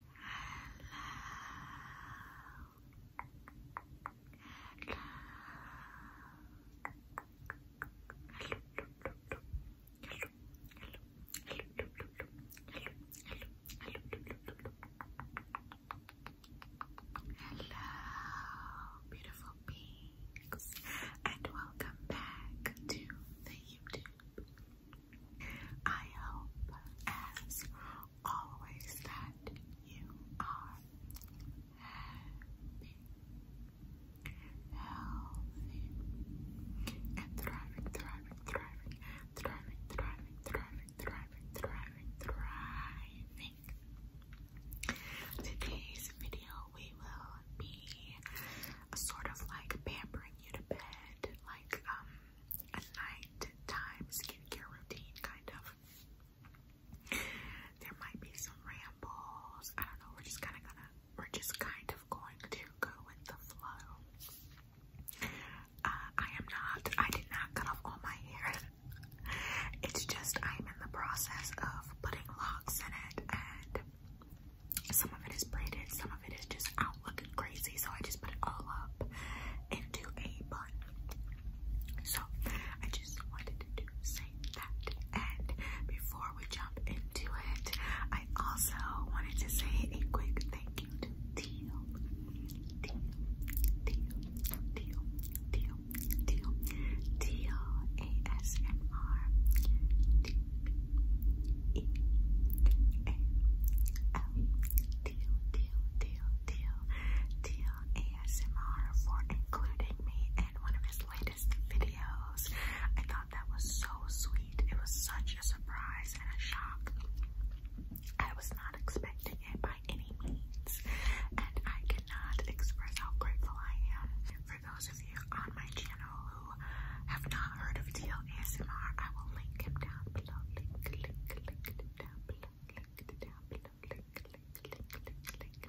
Hello, beautiful beings, and welcome back to the YouTube I hope, as always, that you are happy, healthy, and thriving, thriving, thriving, thriving, thriving, thriving, thriving, thriving, thriving. Today's video, we will be sort of like pampering you to bed, like um a nighttime skincare routine, kind of. There might be some rambles. I don't know. We're just kind of gonna. We're just kind of going to go with the flow. Uh, I am not. I did not cut off all my hair. It's just I'm in the process of putting locks in it, and some of it is braided, some of it is just out looking crazy, so I just put it all up into a bun. So I just wanted to say that. And before we jump into it, I also wanted to say a quick thank you to Teal. Teal, Teal, Teal, Teal, Teal, ASMR. E A L T O T O T O T O ASMR for including me in one of his latest videos. I thought that was so sweet. It was such a surprise and a shock. I was not expecting it by any means, and I cannot express how grateful I am. For those of you on my channel who have not heard of Teal ASMR, I will link him down below, link, link, link down below, link down below, link, link, link, link, link,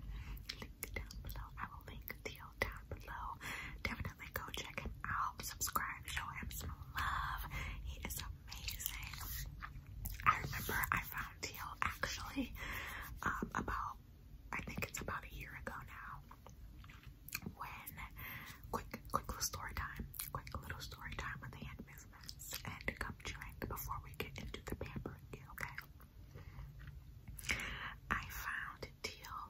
link down below. I will link deal down below. Definitely go check him out. Subscribe, show him some love. He is amazing. I remember I found Teal actually um, about I think it's about a year ago now when quick quick little story time quick little story time with the hand movements and gum chewing before we get into the pampering deal, okay? I found Teal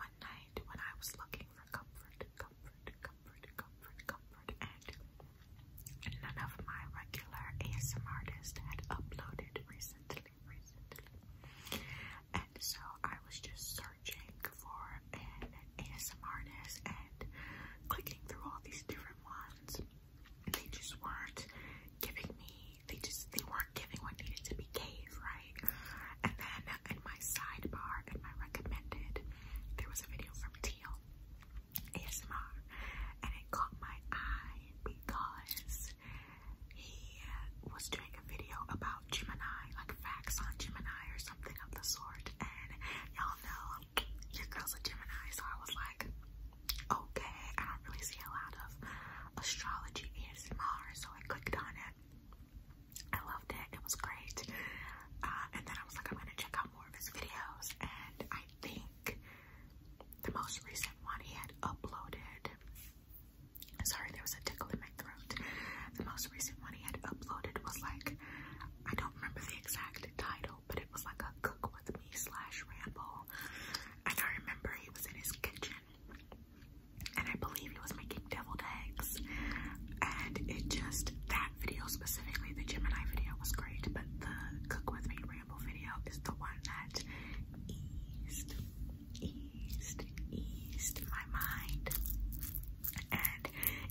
one night when I was looking for comfort, comfort, comfort, comfort, comfort, and none of my regular ASM artists had uploaded recently, recently and so I was just searching for an ASMR artist and clicking through all these different ones. they just weren't giving me, they just, they weren't giving what needed to be gave, right? And then in my sidebar, in my recommended, there was a video from Teal, ASMR, and it caught my eye because he was doing make a video about Gemini, like facts on Gemini or something of the sort. And y'all know your girl's a Gemini, so I was like, okay, I don't really see a lot of astrology ASMR, so I clicked on it. I loved it, it was great. Uh, and then I was like, I'm gonna check out more of his videos, and I think the most recent one he had uploaded Sorry, there was a tickle in my throat. The most recent one he had uploaded was like, I don't remember the exact title, but it was like a cook with me slash ramble. And I remember he was in his kitchen, and I believe he was making deviled eggs. And it just, that video specifically, the Gemini video was great, but the cook with me ramble video is the one that eased eased, eased my mind. And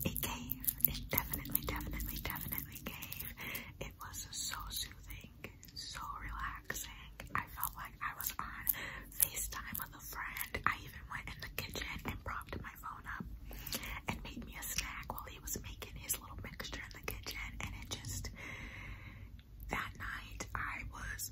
it gave. It definitely, definitely, definitely gave. It was so soothing, so relaxing. I felt like I was on FaceTime with a friend. I even went in the kitchen and propped my phone up and made me a snack while he was making his little mixture in the kitchen. And it just, that night I was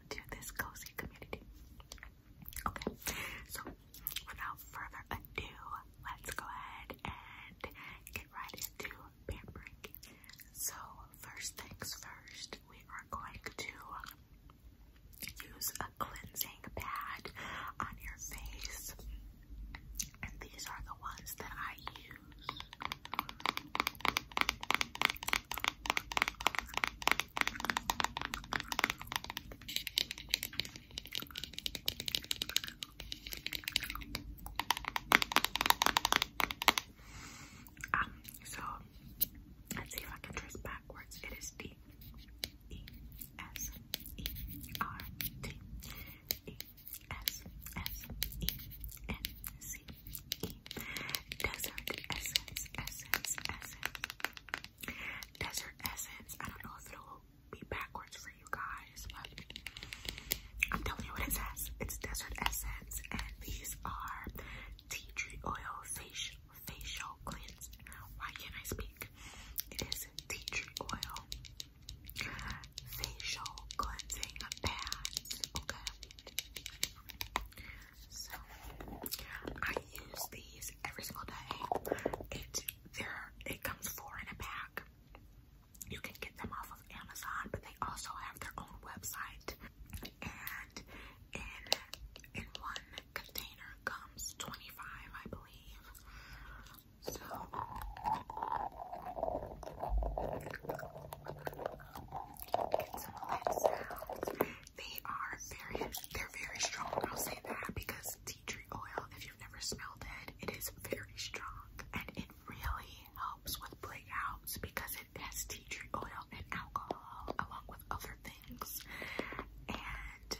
to this cozy community. Okay, so without further ado, let's go ahead and get right into pampering. So first things first, we are going to use a cleansing pad on your face. And these are the ones that I use. Um, so let's see if I can trace backwards. It is D E S E R T E S S E N C Desert Essence, Essence, Essence. Desert Essence. I don't know if it'll be backwards for you guys, but I'm telling you what it says. It's Desert Essence, and these are tea tree oil facial facial cleanse. Why can't I speak? It is tea tree oil facial cleansing pads. Okay. So I use these every single day. It there it comes four in a pack. You can get them off of Amazon, but they also have their own website. And in in one container comes 25, I believe. So get some of that sound. They are very, they're very strong. I'll say that because tea tree oil, if you've never smelled it, it is very strong and it really helps with breakouts because it has tea tree oil and alcohol along with other things. And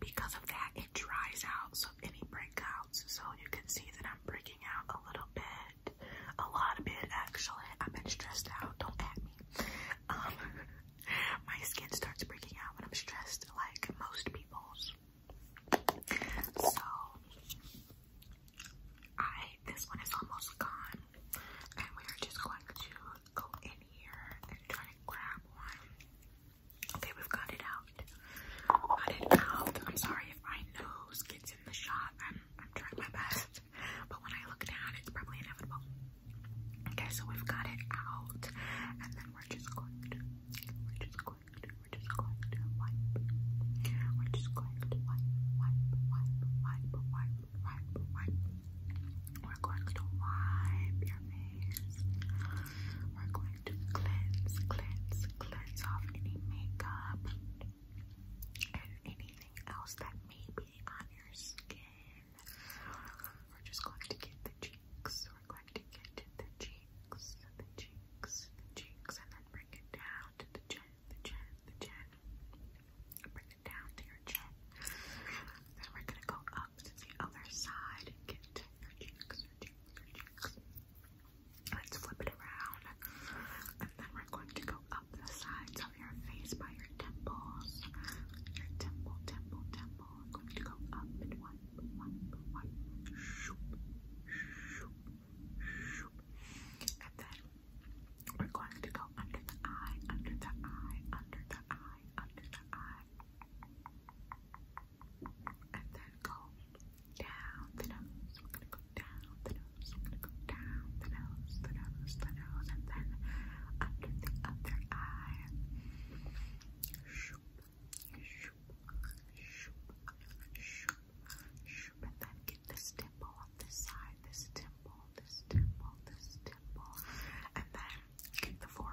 because of that, it dries out so any breakouts. So you can see that I'm breaking out a little bit a lot of bit actually. I've been stressed out. Don't at me. Um, my skin starts breaking out when I'm stressed, like most people's. So I this one is almost gone, and we are just going to go in here and try to grab one. Okay, we've got it out. Got it out. I'm sorry if my nose gets in the shot. I'm, I'm trying my best, but when I look down, it's probably inevitable. Okay, so we've got it out, and then we're just going to, we're just going to, we're just going to wipe. We're just going to wipe, wipe, wipe, wipe, wipe, wipe, wipe. We're going to wipe your face. We're going to cleanse, cleanse, cleanse off any makeup and anything else that may be on your skin. We're just going to get the cheeks. We're going to get the cheeks, the cheeks, the cheeks, and then bring it down to the chin, the chin, the chin. Bring it down to your chin. Then we're gonna go up to the other side and get your cheeks, your cheeks, your cheeks. Let's flip it around, and then we're going to go above the sides of your face by your temples. Your temple, temple, temple. I'm going to go up and one, one, one. Shoop, shoop, shoop. And then we're going to go under the eye, under the eye, under the eye, under the eye. And then go down the nose go down the nose, go down the nose, the nose, the nose, and then under the other eye. Shoop, shoop, shoop, shoop, and then get this dimple on this side, this dimple, this dimple, this dimple, and then get the forehead.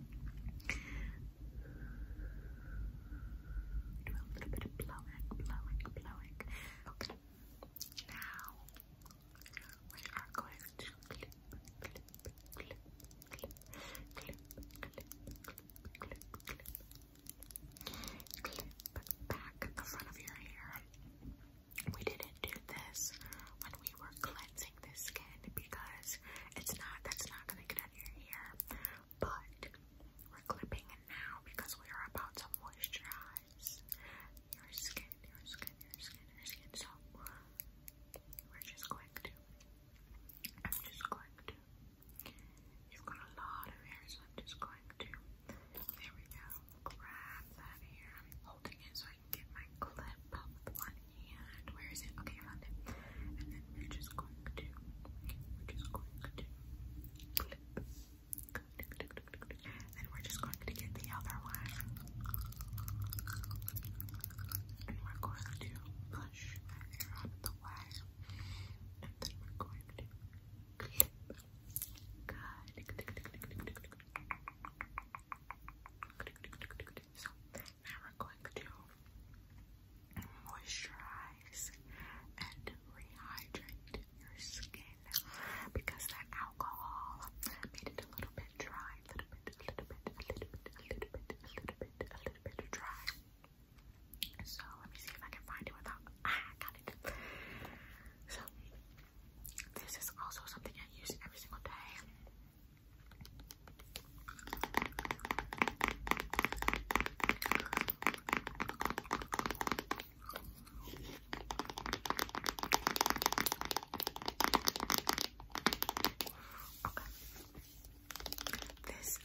Do a little bit of blowing, blowing, blowing. Okay. Now we are going to clip, clip, clip, clip, clip, clip, clip, clip, clip, clip back the front of your hair. We didn't do this when we were cleansing this skin because it's not, that's not gonna get out of your hair. But we're clipping it now because we are about to moisturize your skin, your skin, your skin, your skin. So we're just going to, I'm just going to, you've got a lot of hair, so I'm just going to, there we go, grab that hair. I'm holding it so I can get my clip with one hand. Where is it? Okay, I found it. And then we're just going to, we're just going to clip. Then we're just going to get the other one. And we're going to push out the way. And then we're going to clip. So now we going to moisturize and rehydrate your skin because that alcohol made it a little bit dry, a little bit, a little bit, a little bit, a little bit, a little bit, a little bit dry. So let me see if I can find it without. Ah, got it. So this is also something I use every single day. This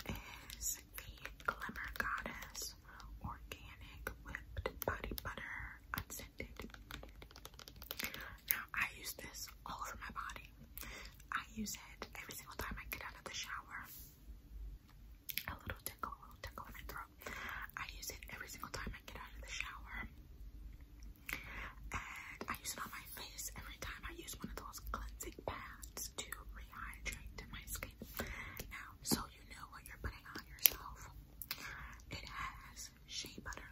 is the Glimmer Goddess Organic Whipped Body Butter blended. Now, I use this all over my body. I use it every single time I get out of the shower. A little tickle, a little tickle in my throat. I use it every single time I get out of the shower. And I use it on my face every time I use one of those cleansing pads to rehydrate my skin. Now, so you know what you're putting on yourself. It has shea butter,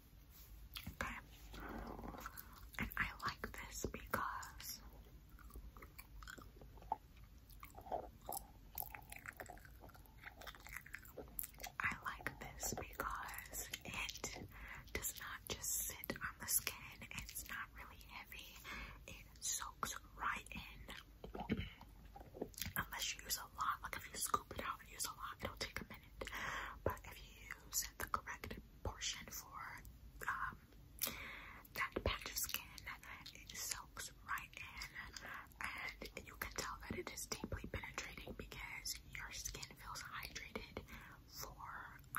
Okay. And I like this because I like this because it does not just sit on the skin. It's not really heavy. It soaks right in. Unless you use a lot. Like if you scoop it out and use a lot, it'll take a but if you use the correct portion for um, that patch of skin, it soaks right in, and you can tell that it is deeply penetrating because your skin feels hydrated for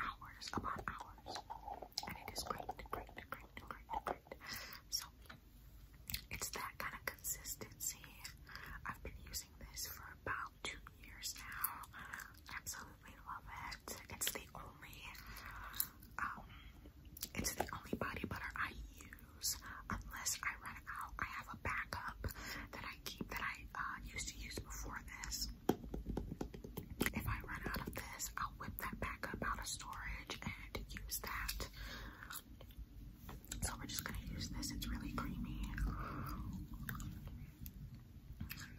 hours upon hours, and it is great, great, great, great, great. So it's that kind of consistency. I've been using this for about two years now. Absolutely love it. It's the only um it's the only body butter I use unless I run out. I have a backup that I keep that I uh, used to use before this. If I run out of this, I'll whip that back out of storage and use that. So we're just gonna use this. It's really creamy.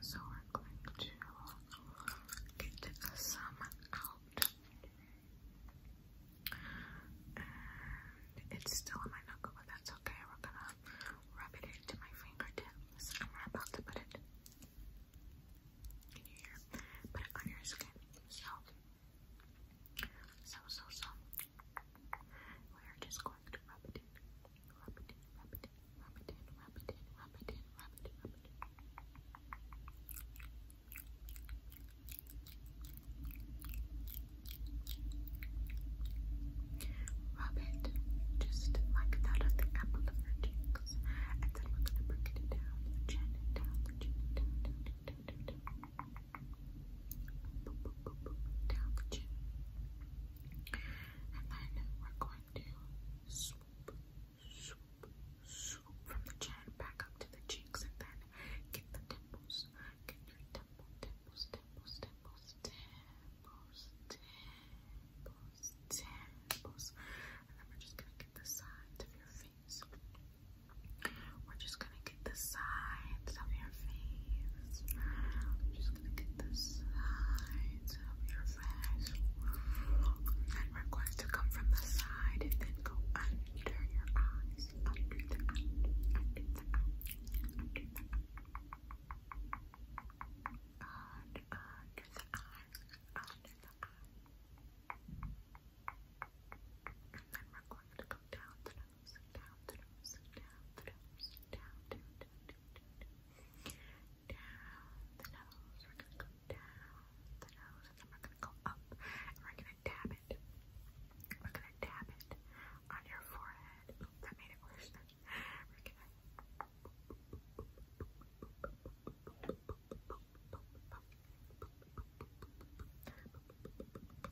So we're going to get some out. it's still in my knuckle, but that's okay. We're gonna rub it into my fingertips. I'm about to put it in here. Put it on your skin. so, so, so. We're just going to rub it in, rub it in, rub it in, rub it in, rub it in, rub it in, rub it in, rub it in. Rub it just like that on the apple of your cheeks, and then we're gonna bring it down the chin, down the chin, down, down, down, down, down, down down the chin. And then we're going to swoop, swoop, swoop from the chin back up to the cheeks and then get the dimples. Get your dimple, dimples, dimples, dimples, dimples, dimples, dimples. And then we're just gonna get the sides of your face. We're just gonna get the sides of your face. I'm just gonna get the sides of your face. And we're going to come from the side and then go under your eyes. Under the eye, under the eye, under the eye. Under, the eye, under the eye. And then we're going to come down throws, down throws, down throws, down, down, down, down, down, the nose. We're gonna go down the nose, and then we're gonna go up, and we're gonna dab it. We're gonna dab it on your forehead. that made it worse. we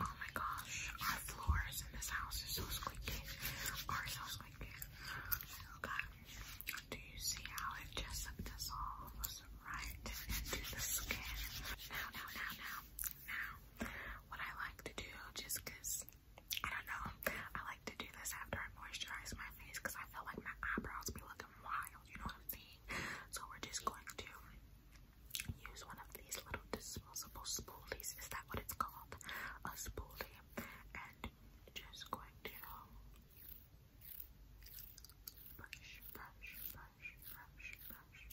Oh my gosh, our floors in this house are so squeaky. Are so squeaky. Do you see how it just dissolves right into the skin? Now, now, now, now, now. What I like to do, just I don't know, I like to do this after I moisturize my face I feel like my eyebrows be looking wild. You know what I'm saying? So we're just going to use one of these little disposable spoolies. Is that what it's called? A spoolie. And just going to brush, brush, brush, brush, brush.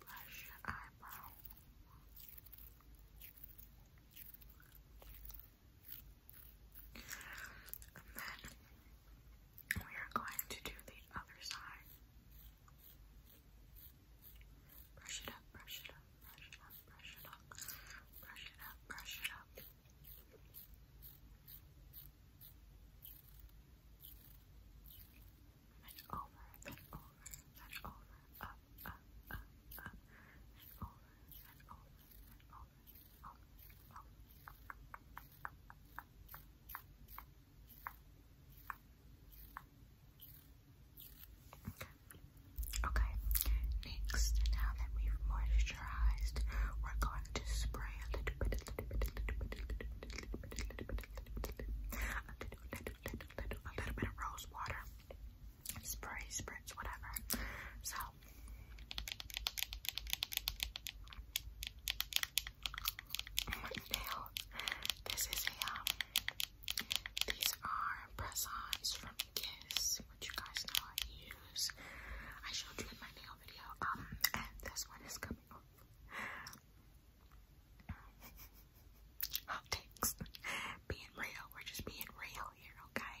Brush your eyebrow. And then we are going to do the other side. Brush it up, brush it up, brush it up, brush it up, brush it up, brush it up. And over, then over, then over, up, up, up, up, and over, and over, and over. Okay, next, now that we've moisturized, we're going to spray a little bit, a little bit of rose water spray, spritz, whatever. So my This is a these are press-ons from KISS, which you guys know I use. I showed you in my nail video. Um this one is coming off. Hot Being real. We're just being real here, okay?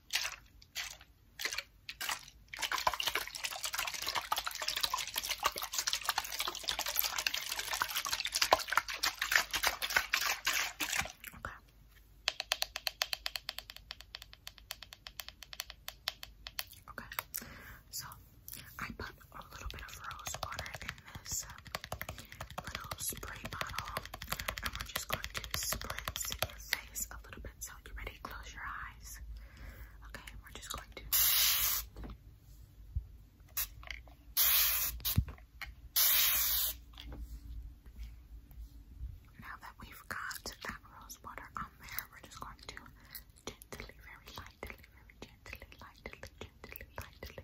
Okay. Okay. So I put a little bit of rose water in this. Um, little spray bottle, and we're just going to spritz your face a little bit. So, you ready? Close your eyes. Okay, we're just going to. Now that we've got that rose water on there, we're just going to gently, very lightly, very gently, lightly, gently, lightly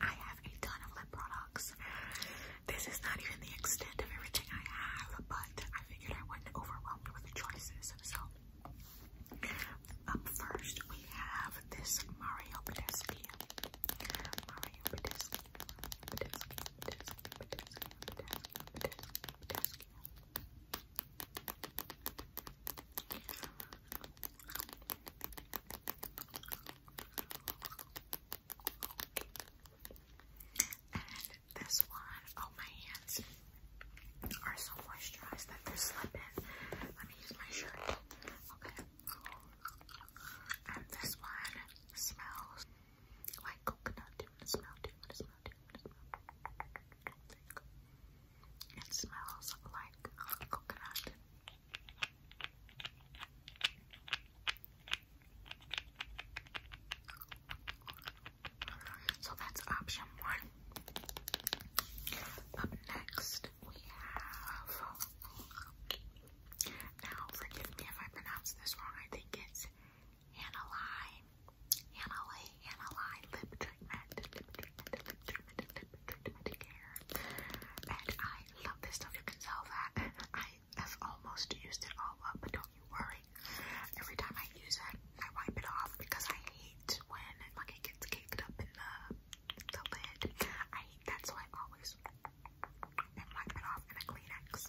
I have a ton of lip products. This is not even the extent of everything I have, but I figured I wasn't overwhelmed with the choices. So, up first, we have this Mario Badesky. Mario Badesky. And this one, oh my hands are so moisturized that they're slipping. Let me use my shirt. Okay. And this one smells like coconut. Do you want to it smells like coconut. So that's option one. Up next, we have. Now, forgive me if I pronounce this wrong. I think it's Aniline. Annalie, Annalie lip treatment, lip treatment, lip treatment, lip treatment care. And I love this stuff. You can tell that I have almost used it all up, but don't you worry. Every time I use it, I wipe it off because I hate when like it gets caked up in the the lid. I hate that, so I always and wipe it off in a Kleenex.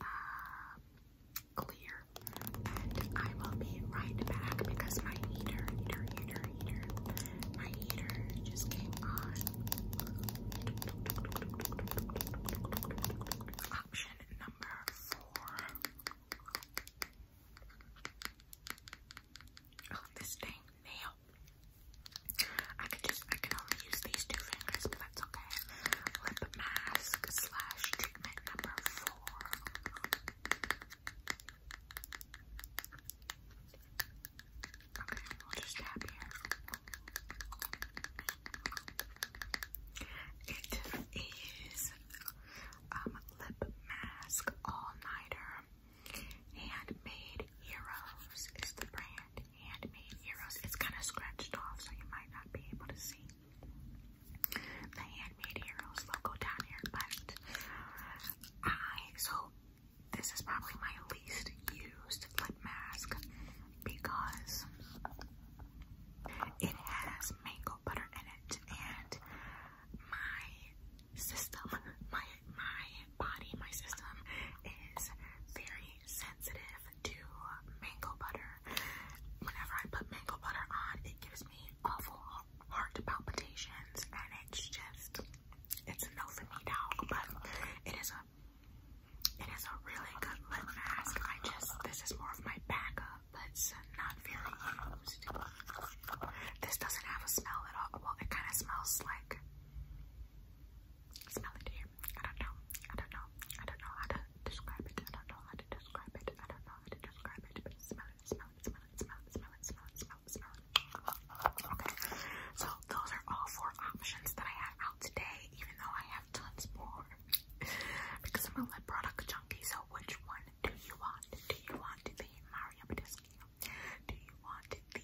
Uh, clear. And I will be right back because my heater, heater, heater, heater, my heater just came on. Option number four. Oh, this thing, nail. I could do I can only use these two fingers, but that's okay. Lip mask slash treatment number four. Okay, we'll just tap here. It is um lip mask all nighter. Handmade Heroes is the brand handmade euros. It's kind of scratched off, so you might not be able to see the handmade euros logo down here. But I so this is probably my least used lip mask because it has mango butter in it, and my system, my my body, my system is very sensitive to mango butter. Whenever I put mango butter on, it gives me awful heart palpitations, and it's just it's no for me now. But it is a it is a really good lip mask. I just this is more of my backup, but it's not very used. This doesn't have a smell at all. Well, it kind of smells like smell it here. I don't know. I don't know. I don't know how to describe it. I don't know how to describe it. I don't know how to describe it. But smell it, smell it, smell it, smell it, smell it, smell it, smell it, smell it. Okay. So those are all four options that I have out today, even though I have tons more. because I'm a lip product junkie, so which one do you want? Do you want the Mario Badescu? Do you want the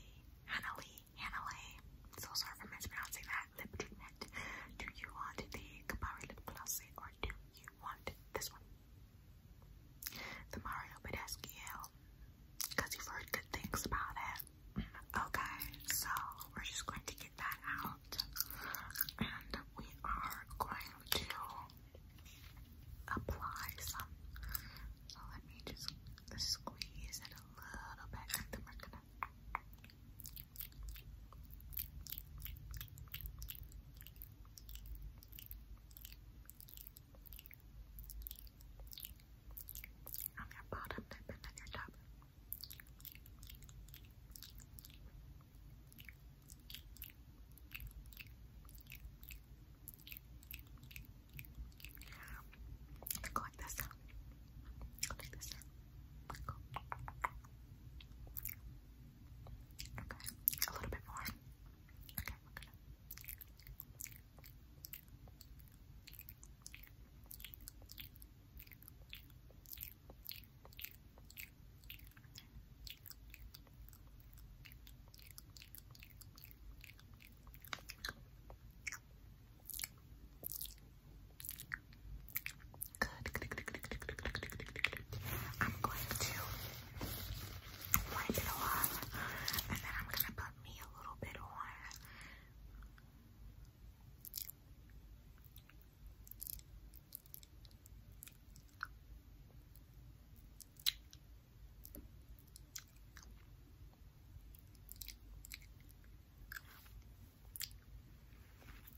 Hanalee? Hanalei. So sorry for mispronouncing that lip treatment. Do you want the Kabari lip glossy or do you want this one? The Mario Badesquiel. Because you've heard good things about it. Mm, okay, so we're just going to get that out. And we are going to apply some. So let me just squeeze it a little bit and then we're gonna on your bottom lip on your top. Let's go like this. Go like this. Go. Okay, a little bit more. Okay, Good, good, I'm going to wipe it off and then I'm gonna put me a little bit on.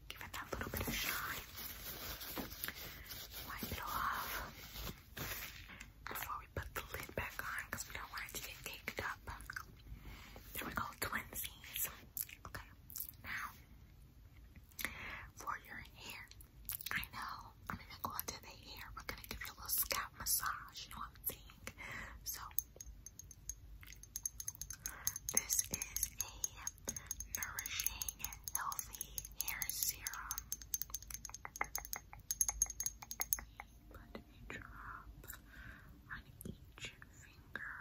Give it that little bit of shine. Wipe it off before we put the lid back on we don't want it to get caked up. There we go, twinsies. Okay, now for your hair. I know, I'm even going to the hair. We're gonna give you a little scalp massage, you know what I'm saying? So this is a nourishing, healthy hair serum. Put a drop on each finger.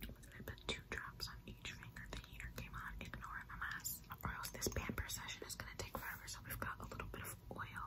I put two drops on each finger. The heater came on. Ignore my mess. Or else this pamper session is gonna take forever. So we've got a little bit of oil.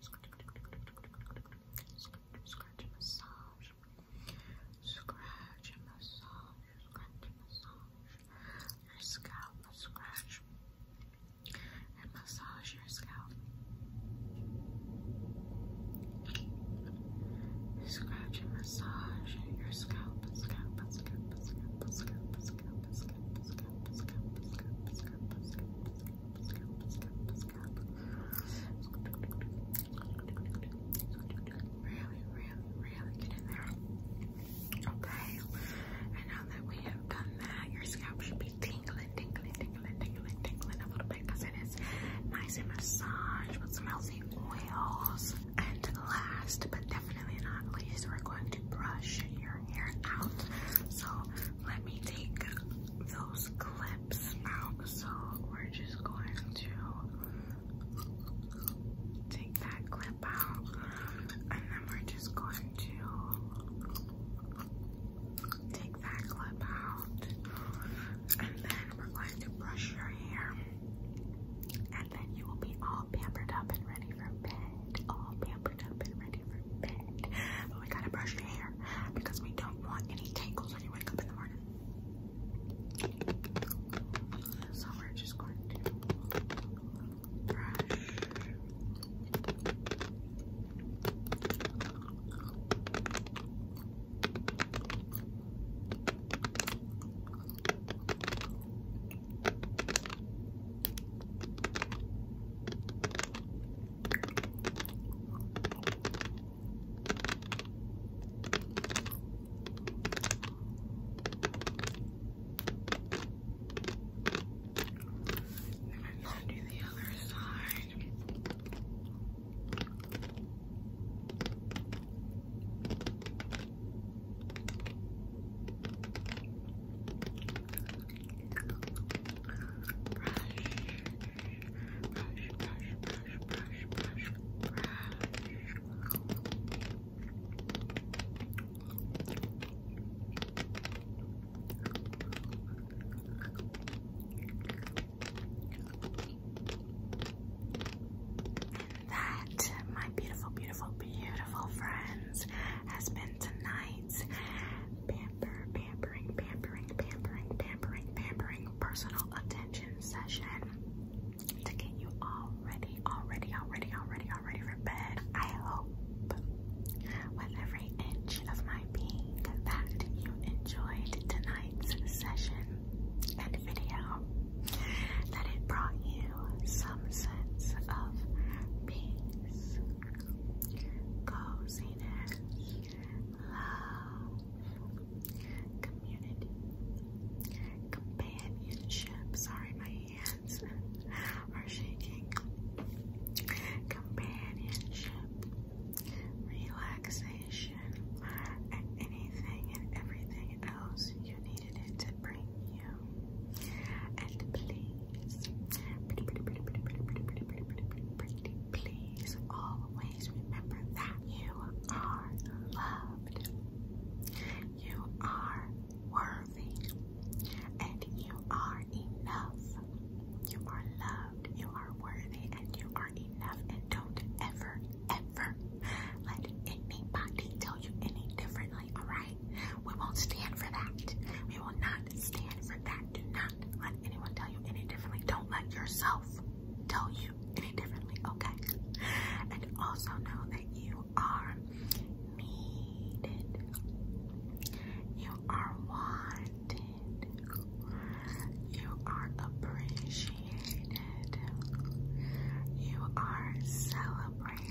Scratch and massage. Scratch and massage. Scratch and massage. Your scalp. Scratch and massage your scalp. Scratch and massage your scalp. Scalp. Scalp. Scalp. Scalp. Scalp. Scalp. Scalp. Scalp. Scalp. Scalp. Scalp. Scalp. Scalp. Really, really, really get in there. Okay. And now that we have done that, your scalp should be tingling, tingling, tingling, tingling, tingling a little bit because it is nice and massaged with some healthy oils. And last but definitely not least, we're going to brush your hair out. So let me take those clips out. So we're just going to take that clip out and then we're just going to take that clip out and then we're going to brush your hair and then you will be all pampered up and ready for bed. All pampered up and ready but we gotta brush your hair because we don't want any tangles when you wake up in the morning. So we're just going to brush. And then do the other side. And that, my beautiful, beautiful, beautiful friends, has been tonight's. Band pampering, pampering, pampering, pampering, pampering personal attention session to get you already, already, already, already, already for bed. I hope with every inch of my being that you enjoyed tonight's session and video, that it brought you some sense of peace, cozy happiness, love, community, companionship. Sorry, my hands are shaking. Companionship, relaxation, and anything and everything else you needed it to bring you. And please pretty, pretty, pretty, pretty, pretty, pretty, pretty, pretty, pretty, pretty, please. Always remember that you are loved. You are worthy. And you are enough. You are loved. You are worthy and you are enough. And don't ever, ever let anybody tell you any differently, alright? We won't stand for that. We will not stand for that. Do not let anyone tell you any differently. Don't let yourself tell you any differently, okay? And also know that you are needed. You are wanted. You are appreciated. You are celebrated.